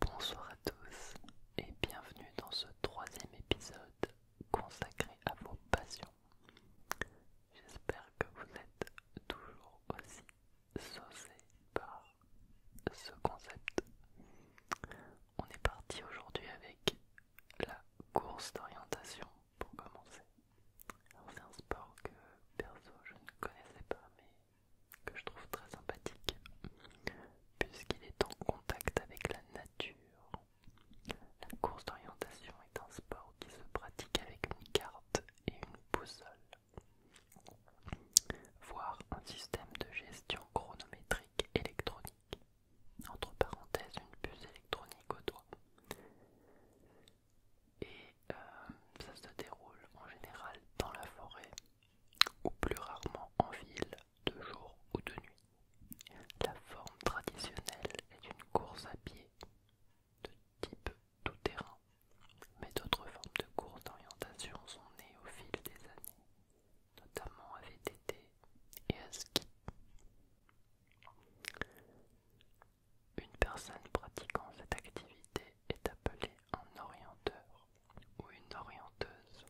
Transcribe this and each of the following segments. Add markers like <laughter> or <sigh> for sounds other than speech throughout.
Bonsoir à tous et bienvenue dans ce troisième épisode consacré à vos passions. J'espère que vous êtes toujours aussi saucés par ce concept. On est parti aujourd'hui avec la course d'orientation pour commencer. C'est un sport que perso je ne connaissais pas mais que je trouve très sympathique, puisqu'il est en contact avec la nature. La course d'orientation est un sport qui se pratique avec une carte et une boussole. voire un système de gestion chronométrique électronique, entre parenthèses une puce électronique au doigt. Et euh, ça se déroule en général dans la forêt, ou plus rarement en ville de jour ou de nuit. La forme traditionnelle est une course à pied de type tout-terrain, mais d'autres formes de course d'orientation sont nées au fil des années, notamment à VTT et à ski. Une personne pratiquant cette activité est appelé un orienteur ou une orienteuse.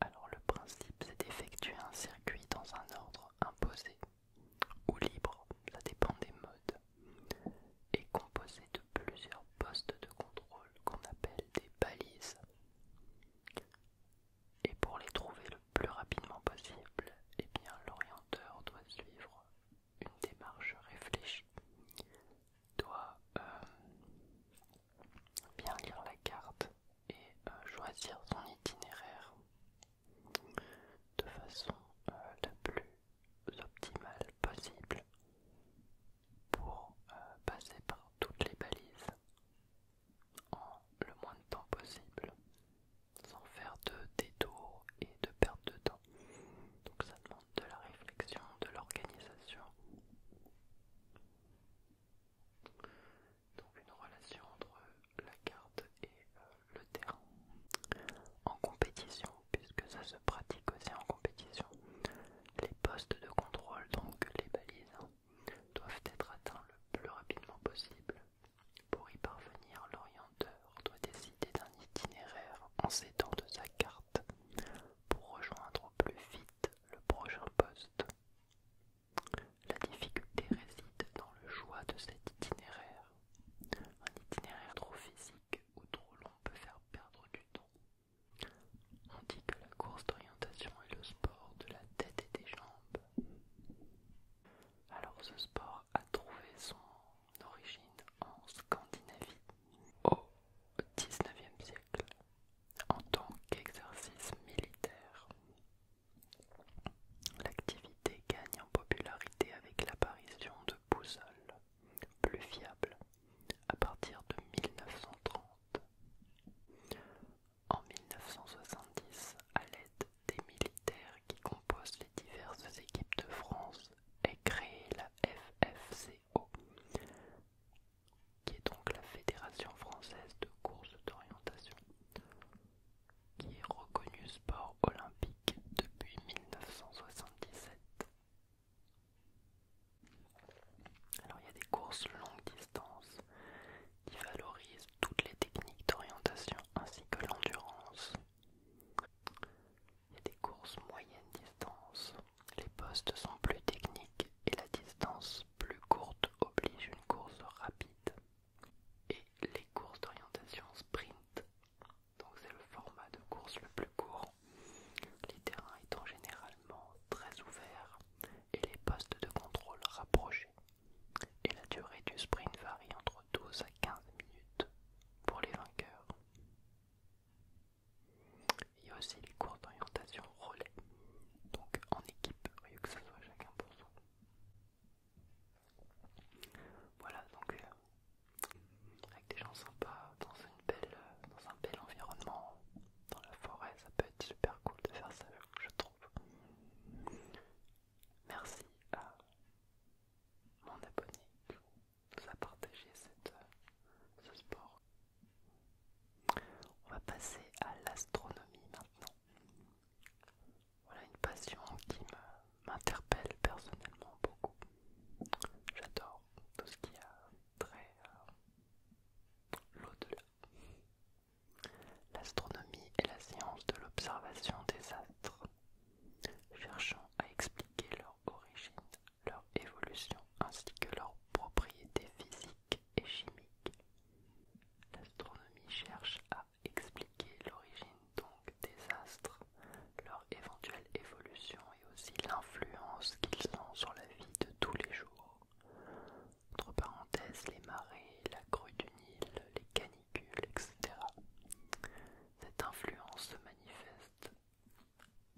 Alors le principe c'est d'effectuer un circuit dans un ordre imposé ou libre, ça dépend des modes, et composé de plusieurs postes de contrôle qu'on appelle des balises. Et pour les trouver le plus rapidement possible, eh bien l'orienteur doit suivre une démarche réfléchie doit euh, bien lire la carte et euh, choisir son itinéraire de façon euh, la plus optimale possible pour passer par toutes les balises en le moins de temps possible sans faire de détour et de perte de temps. Donc ça demande de la réflexion, de l'organisation. Donc une relation entre la carte et euh, le terrain. En compétition, puisque ça se pratique aussi en compétition, les postes de contrôle, donc les balises, hein, doivent être atteints le plus rapidement possible pour y parvenir, l'orienteur doit décider d'un itinéraire en s'aidant de sa carte pour rejoindre plus vite le prochain poste. La difficulté réside dans le choix de cet itinéraire. Un itinéraire trop physique ou trop long peut faire perdre du temps. On dit que la course d'orientation est le sport de la tête et des jambes. Alors ce sport a trouvé son d'origine en Scandinavie au XIXe siècle en tant qu'exercice militaire. L'activité gagne en popularité avec l'apparition de boussoles plus fiables à partir de 1930. En 1970, à l'aide des militaires qui composent les diverses équipes de France, est créée la FFCO, qui est donc la Fédération française de Courses d'orientation, qui est reconnue sport olympique depuis 1977. Alors il y a des courses longues distance qui valorisent toutes les techniques d'orientation ainsi que l'endurance, il y a des courses moyenne distance. Les postes sont plus techniques et la distance plus courte oblige une course rapide. Et les courses d'orientation sprint. Donc c'est le format de course le plus court. Les terrains étant généralement très ouverts et les postes de contrôle rapprochés. Et la durée du sprint varie entre 12 à 15 minutes pour les vainqueurs. Il y a aussi les cours d'orientation relais, donc en équipe, au lieu que ce soit chacun pour soi. Voilà, donc euh, avec des gens sympas, dans, une belle, euh, dans un bel environnement, dans la forêt, ça peut être super cool de faire ça, je trouve. Merci à mon abonné nous a partagé ce sport. On va passer à l'astronomie maintenant. Voilà une passion qui m'interpelle personnellement beaucoup. J'adore tout ce qui a très... l'au-delà. L'astronomie est la science de l'observation des astres cherchant à expliquer leur origine, leur évolution ainsi que leurs propriétés physiques et chimiques. L'astronomie cherche à expliquer l'origine donc des astres, leur éventuelle évolution et aussi l'influence qu'ils ont sur la vie de tous les jours. Entre parenthèses, les marées, la crue du Nil, les canicules, etc. Cette influence se manifeste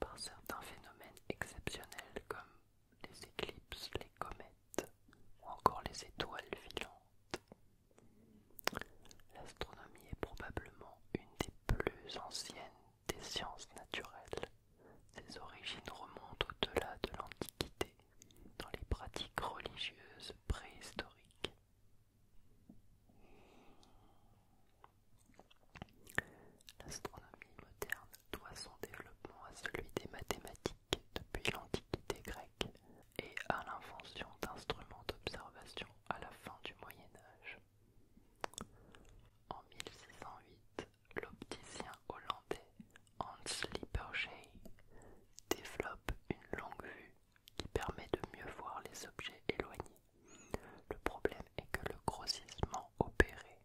par certains phénomènes exceptionnels comme les éclipses, les comètes ou encore les étoiles filantes. L'astronomie est probablement une des plus anciennes des sciences naturelles. Ses origines remontent au-delà de l'Antiquité, dans les pratiques religieuses préhistoriques. L'astronomie moderne doit son développement à celui des mathématiques depuis l'Antiquité grecque et à l'invention d'instruments d'observation à la fin du Moyen Âge. En 1608, l'opticien hollandais Hans Lippershey développe une longue vue qui permet de mieux voir les objets éloignés. Le problème est que le grossissement opéré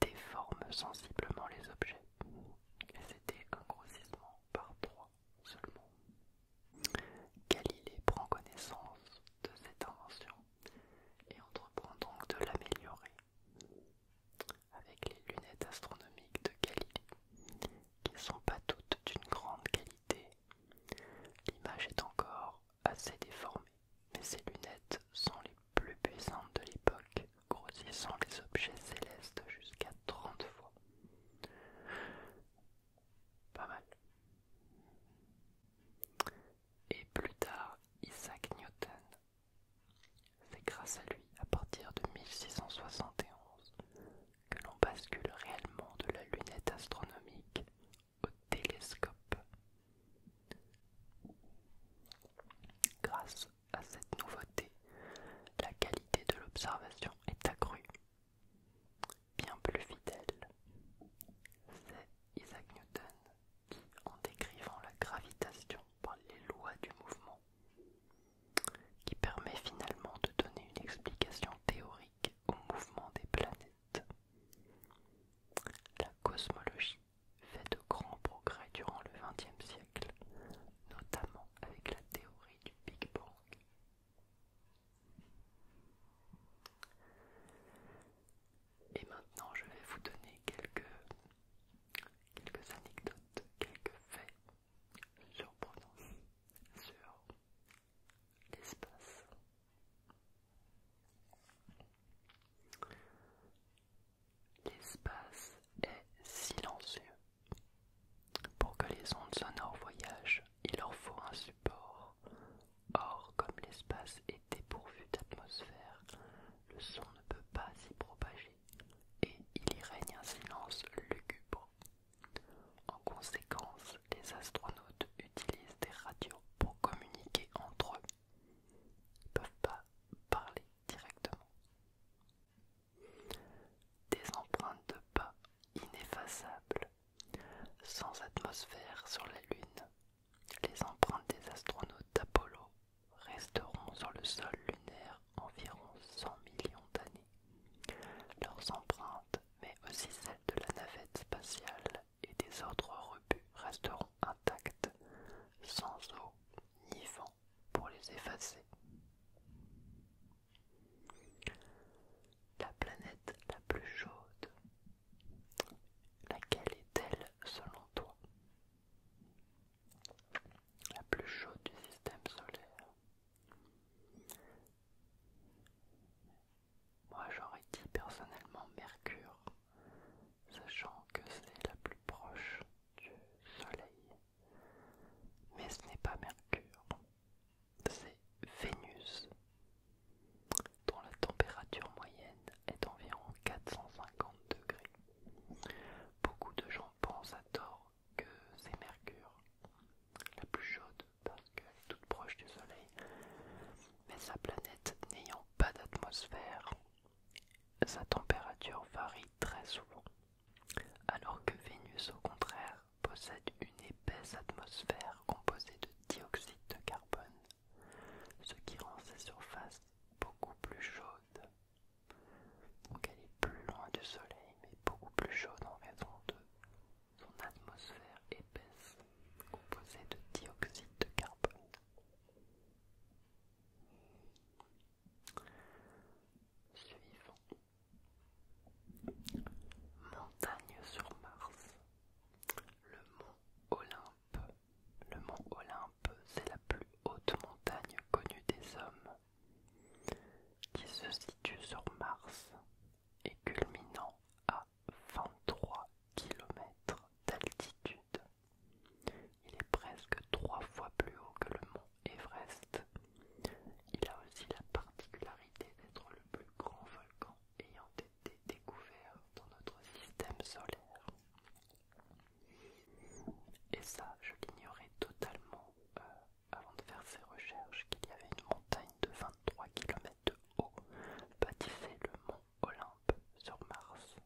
déforme sensiblement les objets. c'était un grossissement par trois seulement. Galilée prend connaissance de cette invention et entreprend donc de l'améliorer avec les lunettes astronomiques de Galilée, qui ne sont pas toutes d'une grande qualité L'image est encore assez déformée, mais ces lunettes sont les plus puissantes de l'époque, grossissant les objets célestes jusqu'à 30 fois. Pas mal. Et plus tard, Isaac Newton. C'est grâce à lui, à partir de 1671, que l'on bascule réellement de la lunette astronomique au télescope. Grâce à cette nouveauté, la qualité de l'observation est accrue, bien plus fidèle. C'est Isaac Newton qui, en décrivant la gravitation par les lois du mouvement, qui permet finalement de donner une explication théorique au mouvement des planètes. La cosmologie fait de grands progrès durant le XXe siècle, notamment avec la théorie du Big Bang. Et maintenant, je vais vous donner quelques, quelques anecdotes, quelques faits surprenants sur l'espace. L'espace est silencieux. Pour que les ondes sonores voyagent, il leur faut un support. Or, comme l'espace est dépourvu d'atmosphère, le son ne peut pas s'y propager et il y règne un silence lugubre. En conséquence, les astronautes utilisent des radios pour communiquer entre eux. Ils ne peuvent pas parler directement. Des empreintes de pas ineffaçables, sans atmosphère sur la Lune. Les empreintes des astronautes d'Apollo resteront sur le sol lunaire environ 100 millions d'années. Leurs empreintes mais aussi celle de la navette spatiale et des autres rebuts resteront intactes, sans eau ni vent pour les effacer. La planète la plus chaude, laquelle est-elle selon toi La plus chaude du système solaire. Moi j'aurais dit personnellement Mercure, sachant que c'est la plus proche du Soleil. Mais ce n'est pas Mercure, c'est Vénus, dont la température moyenne est d'environ 450 degrés. Beaucoup de gens pensent à tort que c'est Mercure, la plus chaude parce qu'elle est toute proche du Soleil. Mais sa planète n'ayant pas d'atmosphère, sa température varie très souvent. Alors que Vénus, au contraire, possède une épaisse atmosphère composée de dioxyde de carbone, ce qui rend sa surface beaucoup plus chaude. Donc elle est plus loin du Soleil, mais beaucoup plus chaude en raison de son atmosphère épaisse, composée de dioxyde de carbone. Suivant. Montagne sur Mars. Le mont Olympe. Le mont Olympe, c'est la plus haute montagne connue des hommes, qui se situe sur Mars et culminant à 23 km d'altitude. Il est presque trois fois plus haut que le mont Everest. Il a aussi la particularité d'être le plus grand volcan ayant été découvert dans notre système solaire. Et ça, je l'ignorais totalement euh, avant de faire ses recherches qu'il y avait une montagne de 23 km de haut, bâtissait le mont Olympe sur Mars.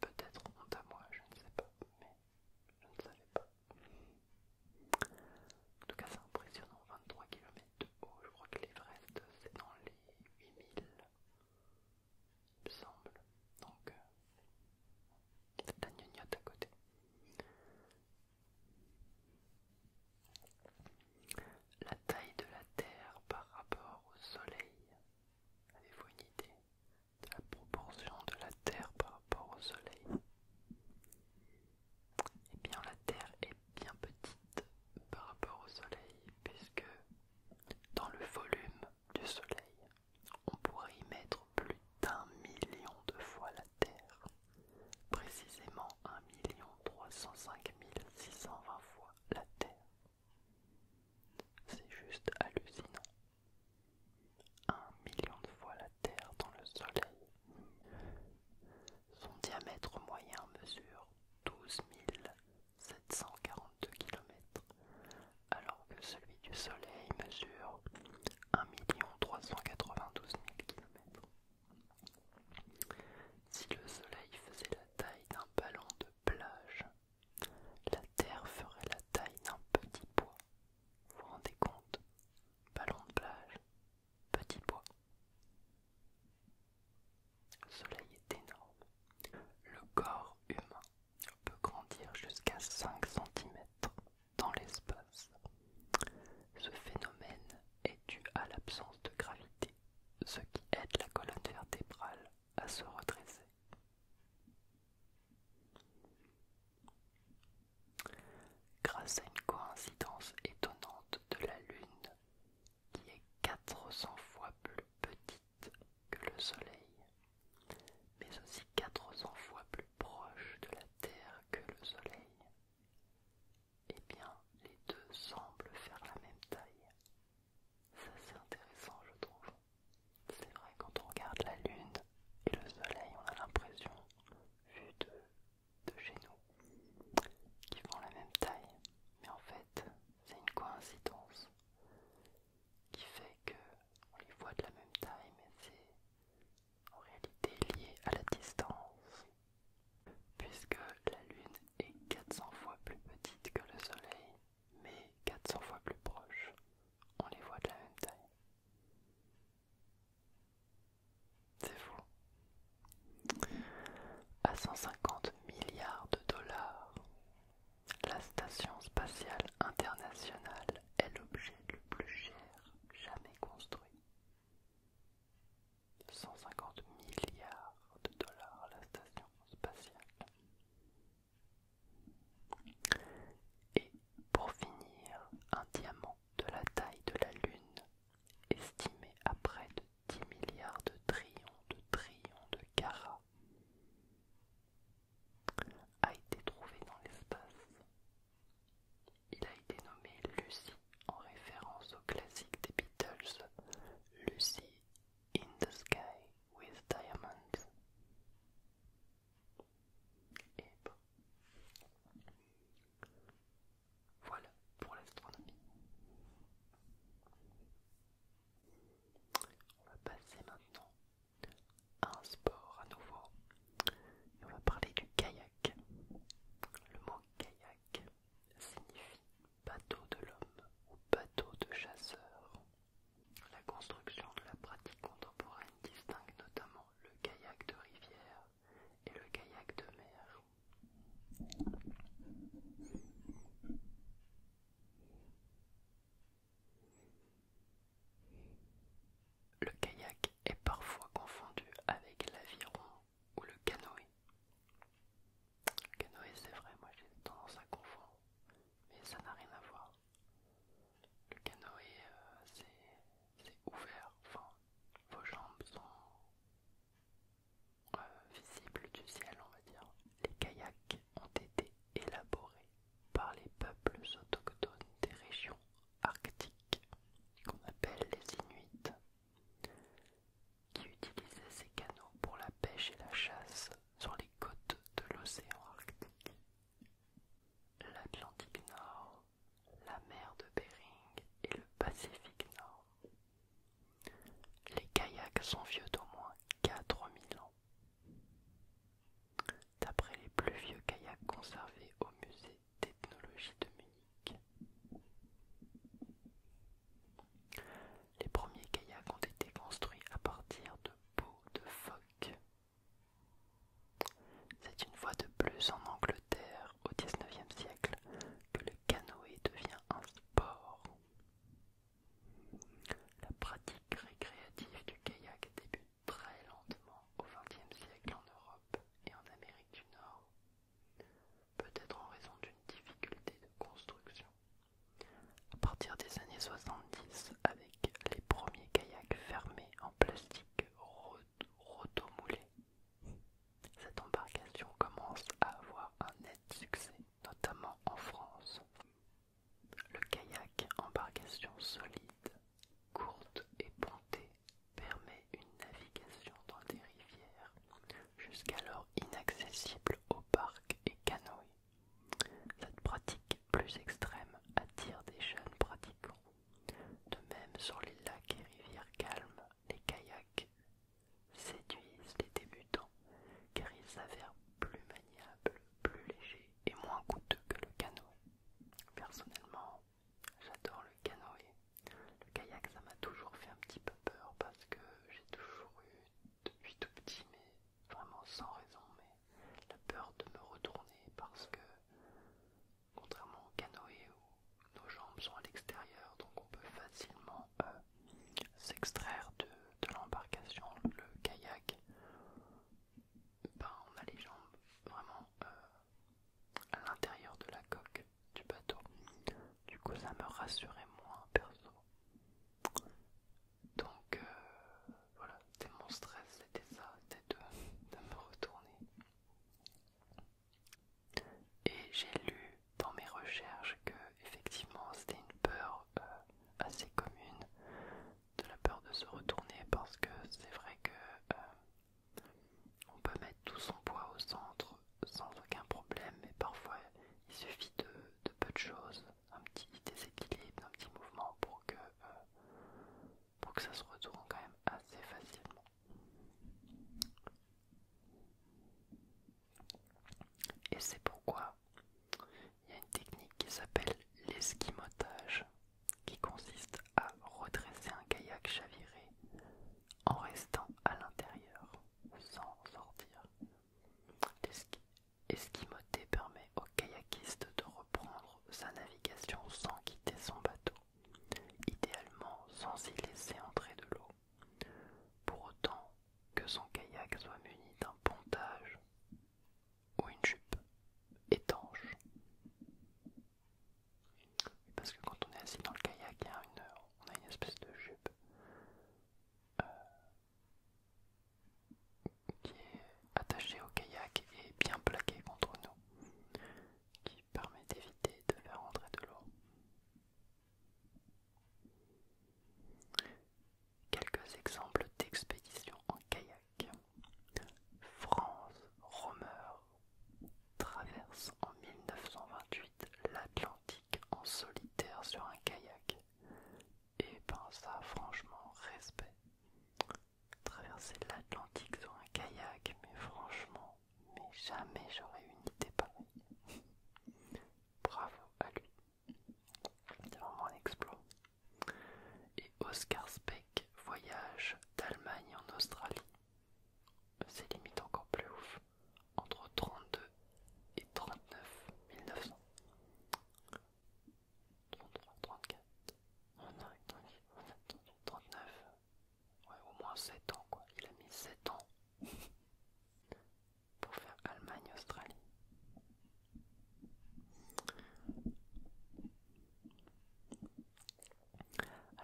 Peut-être honte à moi, je ne sais pas, mais je ne savais pas. En tout cas, c'est impressionnant, 23 km de haut, je crois que l'Everest c'est dans les 8000, il me semble, donc euh, c'est la gnognotte à côté. La taille de la Terre par rapport au Soleil. Avez-vous une idée de la proportion de la Terre par rapport au Soleil Eh bien, la Terre est bien petite par rapport au Soleil, puisque dans le volume du Soleil, on pourrait y mettre plus d'un million de fois la Terre précisément 1 305 620 fois la Terre. C'est juste hallucinant. 1 million de fois la Terre dans le Soleil. Son diamètre moyen mesure 12 742 km, alors que celui du Soleil mesure 1 392 000 km. Si le soleil faisait la taille d'un ballon de plage, la Terre ferait la taille d'un petit bois. Vous vous rendez compte Ballon de plage, petit bois. Le soleil est énorme. Le corps humain peut grandir jusqu'à 5 cm dans l'espace. Ce phénomène est dû à l'absence de gravité, ce qui aide la colonne vertébrale à se redresser. Grâce à une coïncidence étonnante de la Lune, qui est 400 fois plus petite que le Soleil, mais aussi 400 fois plus proche de la Terre que le Soleil, et eh bien les deux semblent faire la même taille. Ça c'est intéressant je trouve. C'est vrai quand on regarde la Lune et le Soleil on a l'impression, vu de, de chez nous, qu'ils font la même taille. Mais en fait c'est une coïncidence qui fait que on les voit de la même taille mais c'est en réalité liée à la distance, puisque la Lune est 400 fois plus petite que le Soleil, mais 400 fois plus proche. On les voit de la même taille. C'est fou. À 150 milliards de dollars, la station spatiale internationale est l'objet le plus cher jamais construit. 150 milliards de dollars à la station spatiale. Et pour finir, un diamant de la taille de la Lune, estimé à près de 10 milliards de trillions de trillions de carats, a été trouvé dans l'espace il a été nommé Lucy en référence au classique des Beatles, Lucy in the Sky with Diamonds. Voilà pour l'astronomie. On va passer maintenant à un sport à nouveau et on va parler du kayak. Le mot kayak signifie bateau de l'homme ou bateau de chasseur. La construction de la pratique contemporaine distingue notamment le kayak de rivière et le kayak de mer. Le kayak est parfois confondu avec l'aviron ou le canoë. Le canoë, c'est vrai, moi j'ai tendance à confondre, mais ça n'a rien à voir. Le canoë, euh, c'est ouvert, vos jambes sont euh, visibles du ciel, on va dire. Les kayaks ont été élaborés par les peuples autochtones des régions arctiques qu'on appelle les Inuits, qui utilisaient ces canaux pour la pêche et la chasse sur les côtes de l'océan Arctique. L'Atlantique Nord, la mer de Bering et le Pacifique Nord. Les kayaks sont vieux d'au moins 4000 ans. D'après les plus vieux kayaks conservés au musée Technologie de Munich. Les premiers kayaks ont été construits à partir de peaux de phoque. C'est une fois de plus en Angleterre, au XIXe siècle, que le canoë devient un sport. La pratique récréative du kayak débute très lentement au XXe siècle en Europe et en Amérique du Nord, peut-être en raison d'une difficulté de construction. À partir des années 70, avec les premiers kayaks fermés en plastique rotomoulé, cette embarcation commence à avoir un net succès, notamment en France. Le kayak embarcation solide, courte et pontée permet une navigation dans des rivières jusqu'alors inaccessibles aux parcs et canoës. Cette pratique plus extrême attire des jeunes pratiquants. De même, sur les lacs et rivières calmes, les kayaks séduisent les débutants car ils s'avèrent plus maniables, plus légers et moins coûteux que le canoë. Personnellement, J'adore le canoë. Le kayak, ça m'a toujours fait un petit peu peur parce que j'ai toujours eu, depuis tout petit, mais vraiment sans raison, mais la peur de me retourner parce que, contrairement au canoë où nos jambes sont à l'extérieur, donc on peut facilement euh, s'extraire de, de l'embarcation, le kayak, ben, on a les jambes vraiment euh, à l'intérieur de la coque du bateau. Du coup, ça me rassurait moins perso. Donc euh, voilà, c'était mon stress, c'était ça, c'était de, me retourner. Et j'ai lu dans mes recherches que effectivement c'était une peur euh, assez commune de la peur de se retourner parce que c'est vrai que euh, on peut mettre tout son poids au centre sans aucun problème, mais parfois il suffit de, peu de choses, un petit déséquilibre, un petit mouvement pour que, euh, pour que ça se retourne quand même assez facilement. Et c'est pourquoi il y a une technique qui s'appelle l'esquimotage qui consiste à redresser un kayak chaviré en restant à l'intérieur sans sortir. L'esquimoté permet au kayakiste de reprendre sa navigation sans quitter son bateau, idéalement sans y laisser entrer de l'eau, pour autant que son kayak soit muni d'un pontage ou une jupe étanche. Parce que quand on est assis dans le kayak, il y a une, on a une espèce de jupe euh, qui est attachée au kayak et bien plaquée contre nous, qui permet d'éviter de faire entrer de l'eau. Quelques exemples d'expéditions en kayak. France, Romeur, traverse en 1928 l'Atlantique en solitaire sur un kayak. Et eh ben ça, franchement, respect. Traverser l'Atlantique sur un kayak, mais franchement, mais jamais j'aurais une idée pareille. <laughs> Bravo à lui. C'est vraiment un exploit. Et Oscar Speck voyage d'Allemagne en Australie c'est limite encore plus ouf, entre 32 et 39 1900, 33, 34, on a 39, ouais au moins 7 ans quoi, il a mis 7 ans <laughs> pour faire Allemagne-Australie.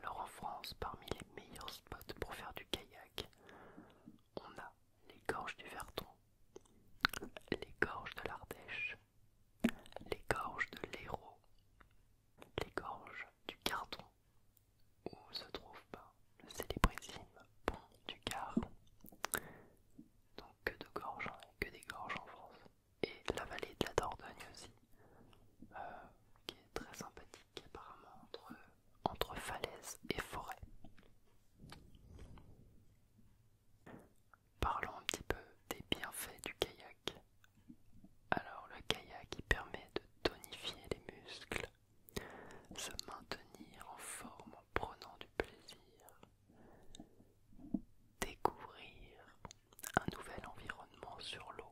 Alors en France, parmi les meilleurs spots pour faire du kayak, on a les gorges du Verton, les gorges de l'Ardèche, les gorges de l'Hérault, les gorges du Carton, où se trouve ben, le célébrissime pont du Gard. Donc que de gorges, que des gorges en France. Et la vallée de la Dordogne aussi. Euh, qui est très sympathique apparemment entre, entre falaises et forêt. Parlons un petit peu des bienfaits du kayak. Alors le kayak il permet de tonifier les muscles, se maintenir en forme en prenant du plaisir, découvrir un nouvel environnement sur l'eau,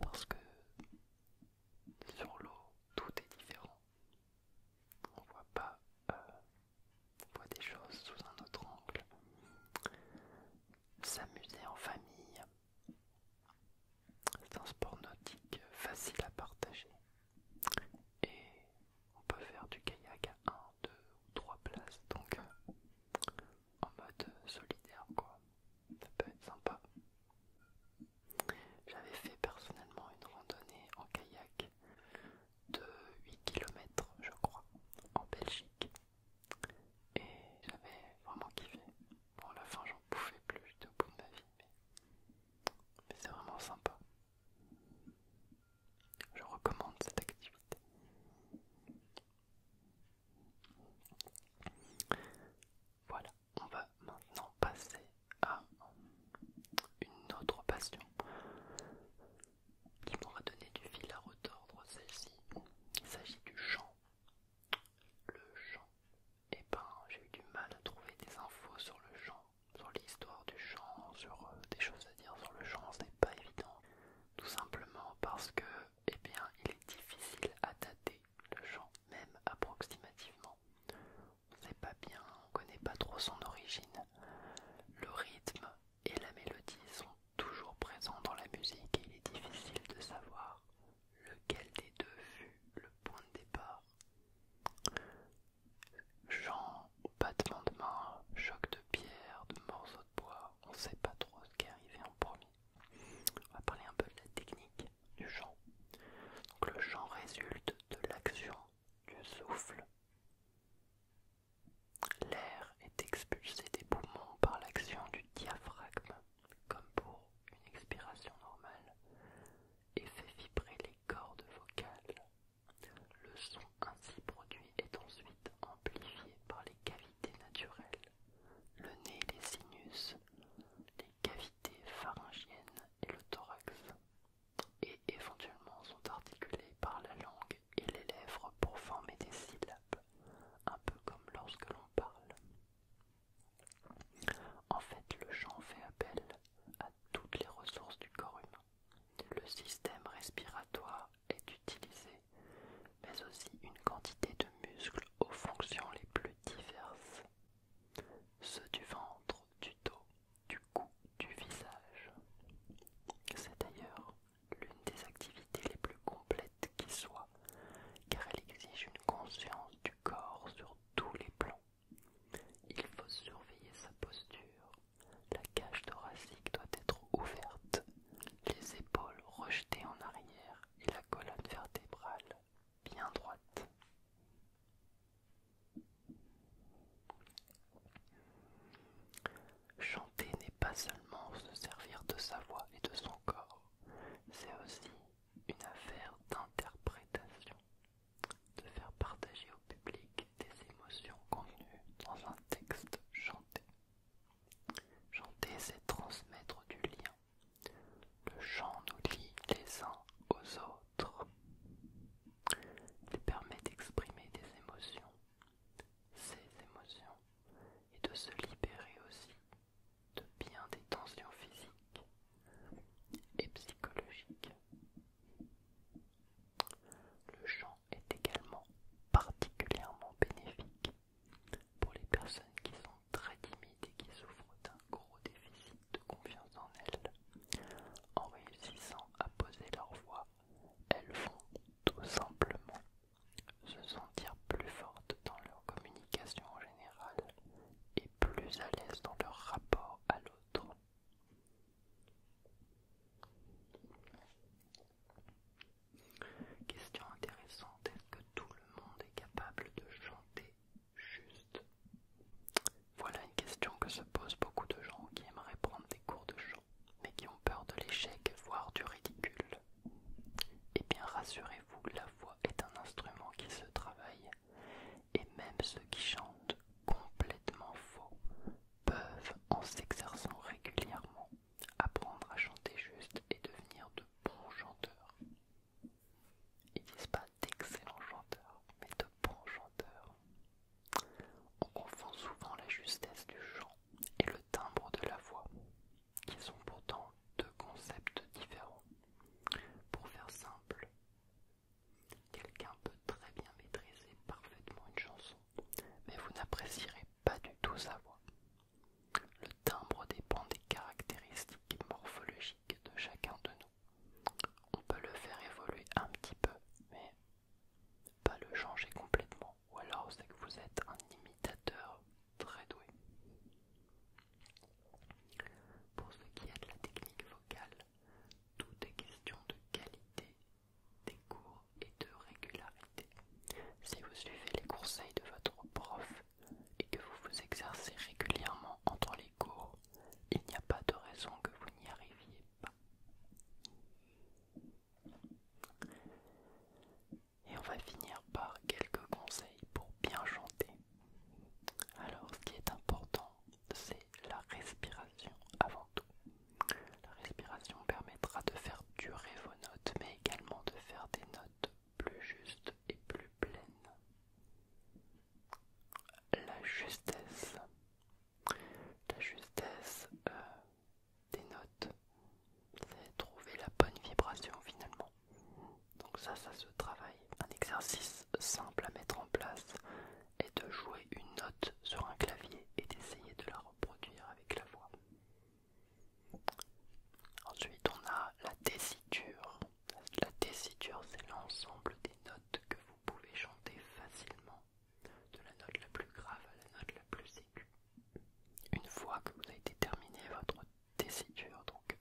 parce que sur l'eau, tout est différent. On voit pas, euh, on voit des choses sous un autre angle. S'amuser en famille, c'est un sport nautique facile à partager. Et on peut faire du kayak à 1, 2 ou 3 places. Donc en mode solidaire quoi. Ça peut être sympa. J'avais fait personnellement une randonnée en kayak de 8 km je crois en Belgique et j'avais vraiment kiffé. Bon à la fin j'en pouvais plus, de au bout de ma vie mais c'est vraiment sympa. Je recommande cette activité. Voilà, on va maintenant passer à une autre passion qui m'aura donné du fil à retordre, celle-ci. Il s'agit du chant. Le chant. Et eh ben, j'ai eu du mal à trouver des infos sur le chant, sur l'histoire du chant, sur euh, des choses à dire sur le chant, c'est pas évident. Tout simplement parce que, eh bien, il est difficile à dater le chant, même approximativement. On ne sait pas bien, on ne connaît pas trop son origine. Le rythme et la mélodie sont toujours présents dans la musique et il est difficile de savoir lequel des deux fut le point de départ. Chant, battement de main, choc de pierre, de morceaux de bois, on ne sait pas trop ce qui est arrivé en premier. On va parler un peu de la technique du chant. le chant résulte de l'action du souffle. L'air est expulsé des poumons par l'action du diaphragme, comme pour une expiration normale, et fait vibrer les cordes vocales. Le son ainsi produit est ensuite amplifié par les cavités naturelles, le nez et les sinus, les cavités pharyngiennes et le thorax, et éventuellement sont articulées par la langue et les lèvres pour former des syllabes, un peu comme lorsque l'on parle. En fait, le chant fait appel à toutes les ressources du corps humain. Le système respiratoire est utilisé mais aussi une quantité de muscles aux fonctions les plus diverses, ceux du ventre, du dos, du cou, du visage. C'est d'ailleurs l'une des activités les plus complètes qui soit, car elle exige une conscience du corps sur tous les plans. Il faut surveiller sa posture. La cage thoracique doit être ouverte, les épaules rejetées en arrière et la colonne vertébrale bien droite. Chanter n'est pas seulement se servir de sa voix et de son corps, c'est aussi une affaire d'interprétation, de faire partager au public des émotions contenues dans un texte chanté. Chanter, c'est transmettre du lien, le chant nous lie les uns aux autres. Il permet d'exprimer des émotions, ces émotions, et de se libérer aussi de bien des tensions physiques et psychologiques. Le chant est également particulièrement bénéfique pour les personnes qui sont très timides et qui souffrent d'un gros déficit de confiance en elles, en réussissant à poser leur voix, elles vont tout simplement se sentir plus fortes dans leur communication en général et plus à l'aise dans leur rapport à l'autre. Question intéressante, est-ce que le monde est capable de chanter juste Voilà une question que se posent beaucoup de gens qui aimeraient prendre des cours de chant, mais qui ont peur de l'échec, voire du ridicule. Eh bien, rassurez-vous, la voix est un instrument qui se travaille, et même ceux qui chantent complètement faux peuvent, en s'exerçant régulièrement, apprendre à chanter juste et devenir de bons chanteurs. Ils disent pas d'excellents chanteurs, mais de bons chanteurs. On confond souvent la justesse du chant et le timbre de la voix, qui sont pourtant deux concepts différents. Pour faire simple, quelqu'un peut très bien maîtriser parfaitement une chanson, mais vous n'apprécierez pas du tout sa voix. Le timbre dépend des caractéristiques morphologiques de chacun de nous. On peut le faire évoluer un petit peu, mais pas le changer complètement. Ou alors c'est que vous êtes un imitateur très doué. Pour ce qui est de la technique vocale, tout est question de qualité des cours et de régularité. Si vous suivez les conseils de votre prof et que vous vous exercez régulièrement entre les cours, il n'y a pas de raison que vous n'y arriviez pas. Et on va finir par quelques conseils pour bien chanter. Alors ce qui est important, c'est la respiration avant tout. La respiration permettra de faire durer vos notes, mais également de faire des notes plus juste et plus pleine. La justesse. La justesse euh, des notes, c'est trouver la bonne vibration finalement. Donc ça, ça se travaille. Un exercice simple à mettre en place est de jouer une note sur un clavier et d'essayer de la reproduire avec la voix. Ensuite, on a la tessiture. La tessiture, c'est l'ensemble des notes que vous pouvez chanter facilement, de la note la plus grave à la note la plus aiguë. Une fois que vous avez déterminé votre tessiture, donc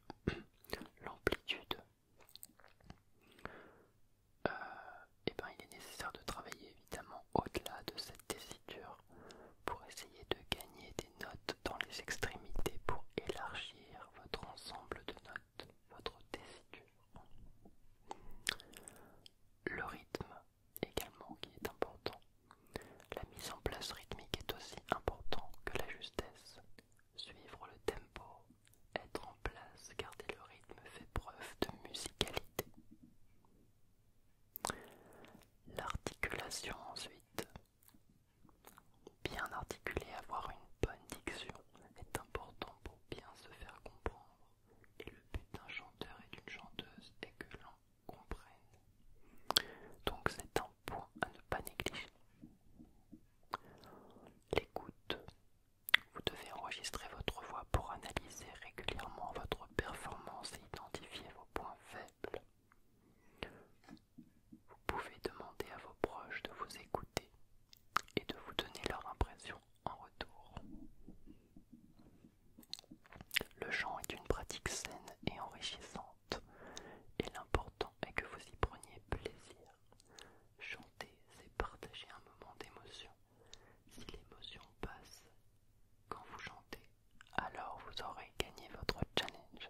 <clears throat> l'amplitude, et euh, eh ben, il est nécessaire de travailler évidemment au-delà de cette tessiture pour essayer de gagner des notes dans les extrémités pour élargir votre ensemble de notes, votre tessiture. Le rythme également qui est important. La mise en place rythmique est aussi importante que la justesse. Suivre le tempo, être en place, garder le rythme fait preuve de musicalité. L'articulation ensuite, Bien articuler, avoir une bonne diction est important pour bien se faire comprendre. Et le but d'un chanteur et d'une chanteuse est que l'on comprenne. Donc c'est un point à ne pas négliger. L'écoute. Vous devez enregistrer votre voix pour analyser régulièrement votre performance et identifier vos points faibles vous pouvez demander à vos proches de vous écouter et de vous donner leur impression en retour. Le chant est une pratique saine et enrichissante, et l'important est que vous y preniez plaisir. Chanter, c'est partager un moment d'émotion. Si l'émotion passe quand vous chantez, alors vous aurez gagné votre challenge.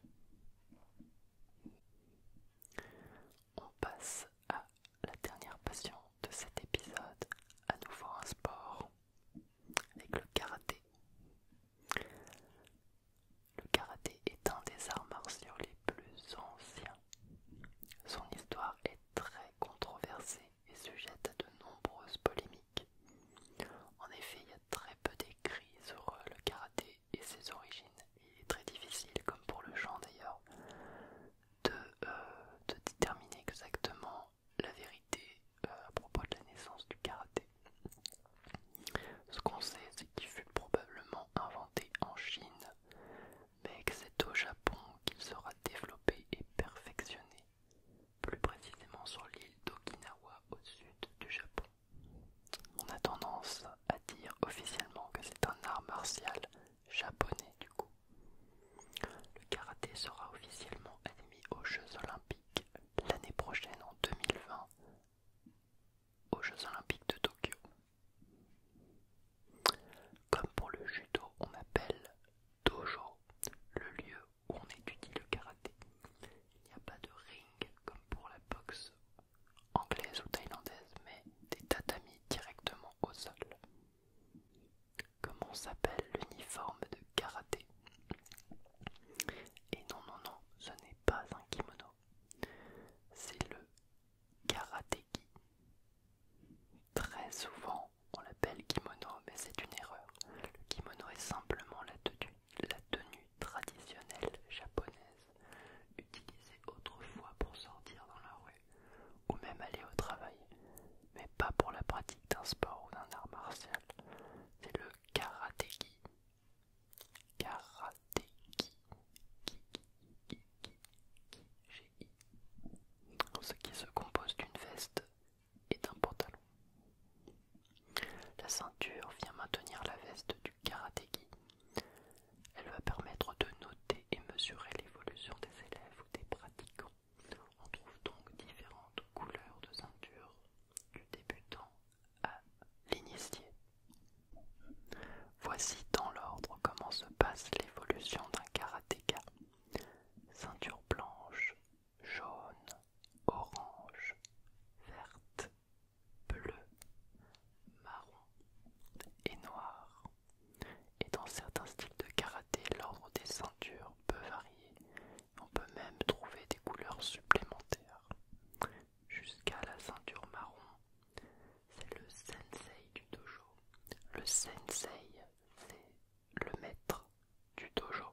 On passe à la dernière passion de cet épisode, à nouveau un sport, avec le karaté. Le karaté est un des arts martiaux les plus anciens. Son histoire est très controversée et sujette à de nombreuses polémiques. En effet, il y a très peu d'écrits sur euh, le karaté et ses origines. Il est très difficile, comme pour le chant d'ailleurs, de, euh, déterminer exactement la vérité euh, à propos de la naissance du karaté. Ce qu'on sait, c'est qu'il fut probablement inventé en Chine, mais que c'est au Japon qu'il sera développé et perfectionné, plus précisément sur l'île d'Okinawa au sud du Japon. On a tendance à dire officiellement que c'est un art martial japonais du coup. Le karaté sera officiellement admis aux Jeux olympiques l'année prochaine en 2020 aux Jeux olympiques de Tokyo. Comme pour le judo, on appelle dojo le lieu où on étudie le karaté. Il n'y a pas de ring comme pour la boxe anglaise ou thaïlandaise, mais des tatamis directement au sol. Comment s'appelle l'uniforme de karaté Et non, non, non, ce n'est pas un kimono, c'est le karatégi. Très souvent, on l'appelle kimono, mais c'est une erreur. Le kimono est simplement la tenue la tenue traditionnelle japonaise utilisée autrefois pour sortir dans la rue ou même aller au travail, mais pas pour la pratique d'un sport ou d'un art martial. C'est le karatéki. Karatéki. Ce qui se compose d'une veste et d'un pantalon. La ceinture vient maintenir la veste du elle va permettre de noter et mesurer l'évolution des élèves ou des pratiquants. On trouve donc différentes couleurs de ceinture du débutant à l'initié. Voici dans l'ordre comment se passe l'évolution d'un karatéka. Ceinture blanche, jaune, orange, verte, bleu, marron et noir. Et dans certains styles de karaté, l'ordre des ceintures peut varier. On peut même trouver des couleurs supplémentaires. Jusqu'à la ceinture marron, c'est le sensei du dojo. Le sensei, c'est le maître du dojo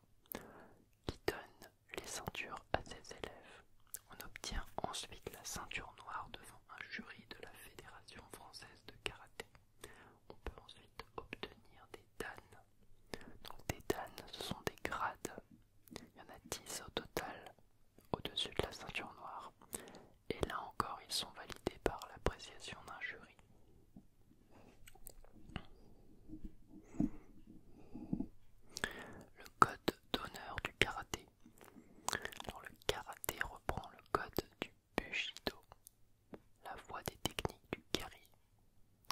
qui donne les ceintures à ses élèves. On obtient ensuite la ceinture noire devant un jury de la Fédération française de karaté. On peut ensuite obtenir des danes. Donc des danes, ce sont des grades. Il y en a 10 au total au-dessus de la ceinture noire. Et là encore, ils sont validés par l'appréciation d'un jury. Le code d'honneur du karaté. Alors, le karaté reprend le code du bushido, la voie des techniques du kari.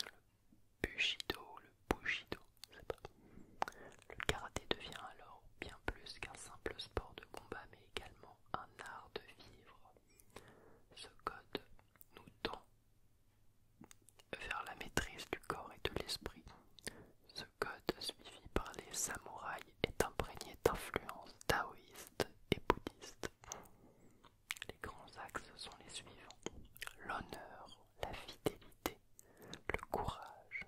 Le bushido, le bushido, Le karaté devient alors bien plus qu'un simple sport de combat, mais également un art de vivre. Ce code nous tend vers la maîtrise du corps et de l'esprit. Le code suivi par les samouraïs est imprégné d'influences taoïstes et bouddhistes. Les grands axes sont les suivants l'honneur, la fidélité, le courage,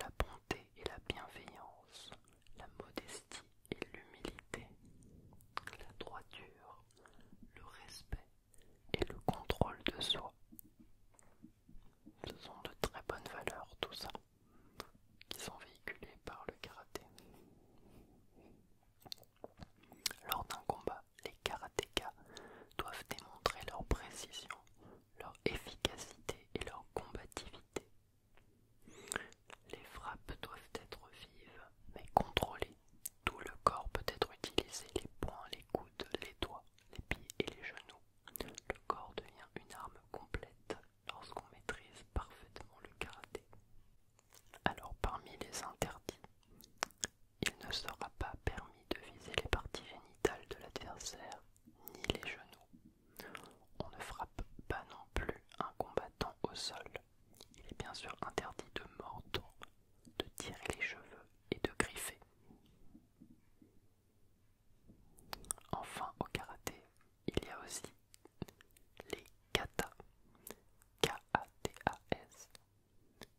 la bonté et la bienveillance, la modestie et l'humilité, la droiture, le respect, et le contrôle de soi. Ce sont de très bonnes valeurs, tout ça, qui sont véhiculés par le karaté. Lors d'un combat, les karatékas doivent démontrer leur précision, leur efficacité et leur combativité. Les frappes doivent être vives, mais contrôlées. Tout le corps peut être utilisé, les poings, les coudes, les doigts les pieds et les genoux. Le corps devient une arme complète lorsqu'on maîtrise parfaitement le karaté. Alors parmi les interdits, il ne sera pas permis de viser les parties génitales de l'adversaire ni les genoux. On ne frappe pas non plus un combattant au sol. Il est bien sûr interdit de mordre de tirer les cheveux et de griffer. Enfin, au karaté, il y a aussi les katas.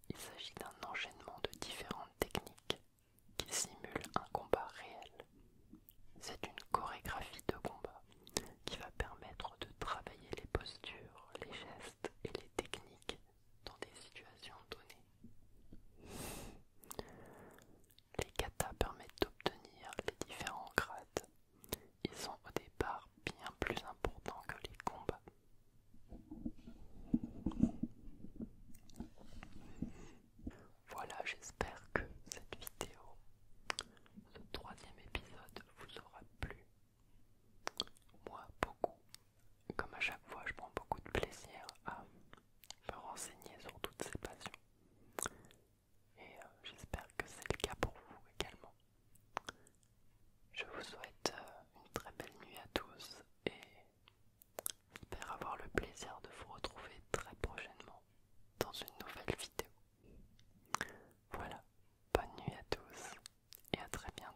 Il s'agit d'un enchaînement de différentes techniques qui simulent un combat réel. C'est une chorégraphie de combat qui va permettre de travailler les postures, les gestes et les techniques dans des situations données. Les katas permettent d'obtenir les différents grades. Ils sont au départ bien plus importants que les combats. Voilà, j'espère que cette vidéo, ce troisième épisode vous aura plu. Moi, beaucoup, comme à chaque fois, je prends beaucoup de plaisir à me renseigner sur toutes ces passions. Et euh, j'espère que c'est le cas pour vous également. Je vous souhaite euh, une très belle nuit à tous et j'espère avoir le plaisir de vous retrouver très prochainement dans une nouvelle vidéo. Voilà, bonne nuit à tous et à très bientôt